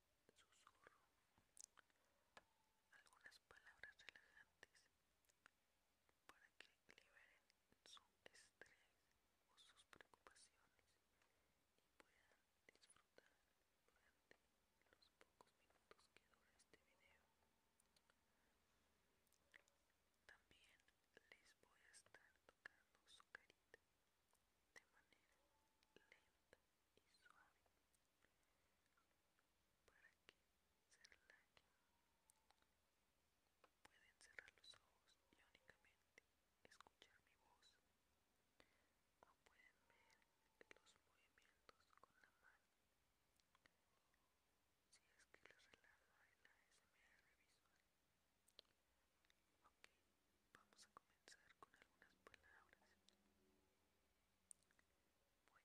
susurro algunas palabras relajantes para que liberen su estrés o sus preocupaciones y puedan disfrutar durante los pocos minutos que dura este video. También les voy a estar tocando su carita de manera lenta y suave para que se relaje Pueden cerrar los ojos y únicamente escuchar mi voz o pueden ver los movimientos con la mano. Si es que les relaja la ASMR visual. Ok, Vamos a comenzar con algunas palabras. Voy a ir intercalando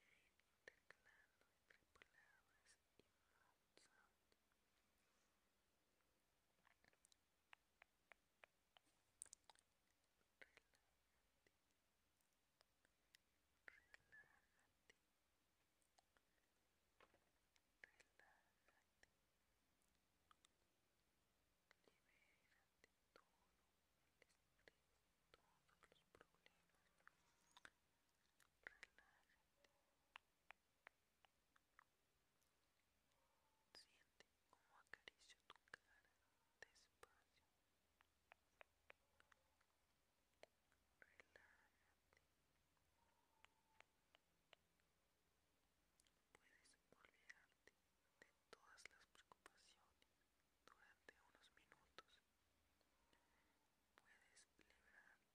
entre palabras y mouth sound. Relájate. Relájate. Relájate. Libérate todo, todos los problemas. Relájate. Siente como acaricio tu cara despacio. Relájate. Puedes volver a de todas las preocupaciones durante unos minutos. Puedes librarte, poner tu mente en blanco y disfrutar de mi voz y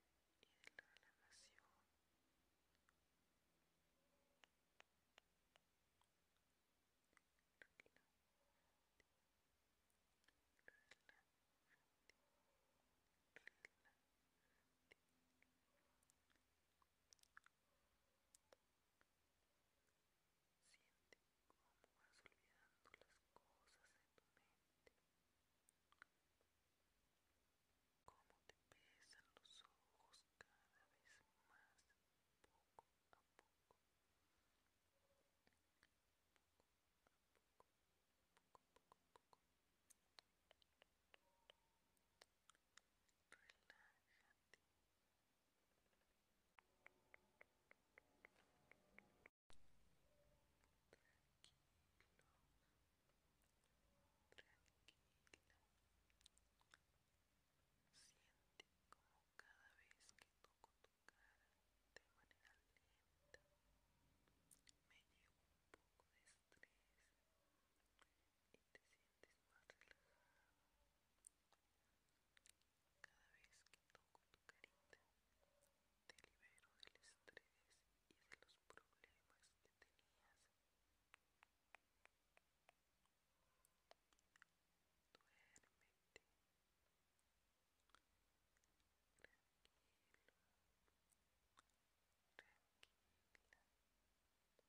de la relajación. Siente cómo vas olvidando las cosas en tu mente, cómo te pesan los ojos cada vez más poco a poco, poco, poco, poco, relájate. Tranquilo, tranquila. Siente cada vez que toco tu cara de manera lenta me llevo un poco de estrés y te sientes más relajado cada vez que toco tu carita te libero del estrés y de los problemas que tenías duérmete tranquila recuerda que ahorita puedes darte el lujo de descansar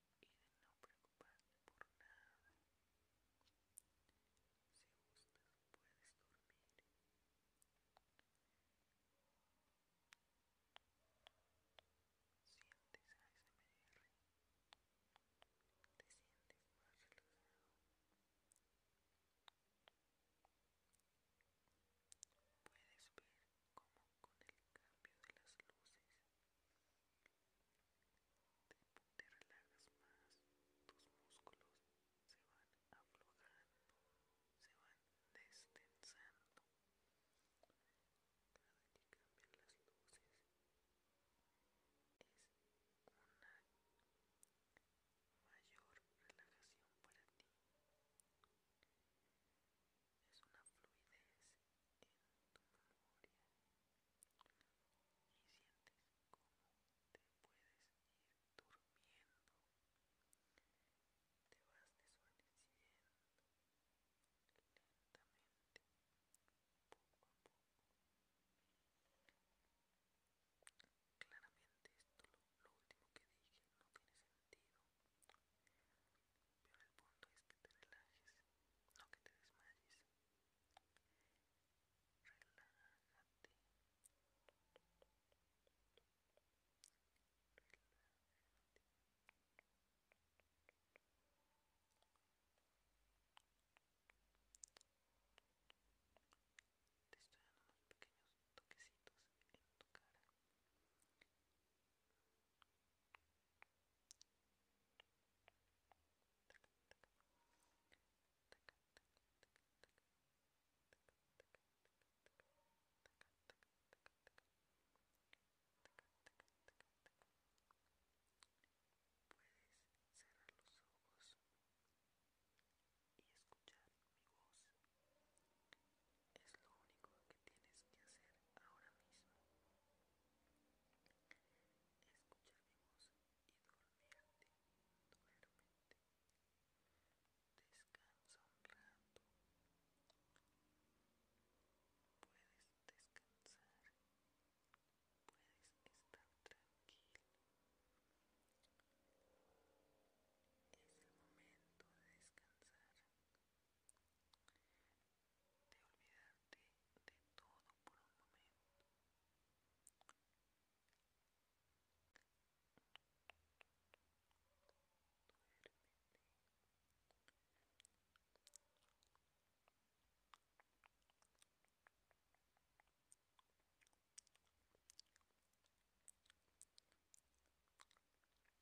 y no preocuparte por nada. Si gustas, puedes dormir. Sientes ASMR, te sientes más relajado. Puedes ver cómo con el cambio de las luces te, te relajas más, tus músculos se van aflojando, se van destensando. Cada que cambian las luces es una mayor relajación para ti es una fluidez en tu memoria y sientes como te puedes ir durmiendo, te vas desvaneciendo lentamente, poco a poco. Claramente esto, lo, lo último que dije, no tiene sentido pero el punto es que te relajes, no que te desmayes. Relájate. Te estoy dando unos pequeños toquecitos en tu cara Puedes cerrar los ojos y escuchar mi voz es lo único que tienes que hacer ahora mismo. escuchar mi voz y dormirte, duérmete. Descansa un rato. Puedes descansar. Puedes estar tranquilo. Es el momento de descansar de olvidarte de todo por un momento.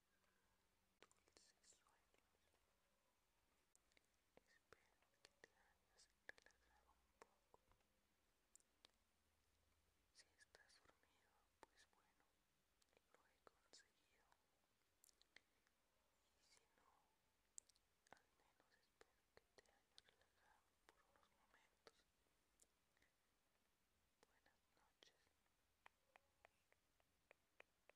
sueños. Espero que te hayas relajado un poco. Si estás dormido, pues bueno, lo he conseguido. Y si no, al menos espero que te hayas relajado por unos momentos. Buenas noches.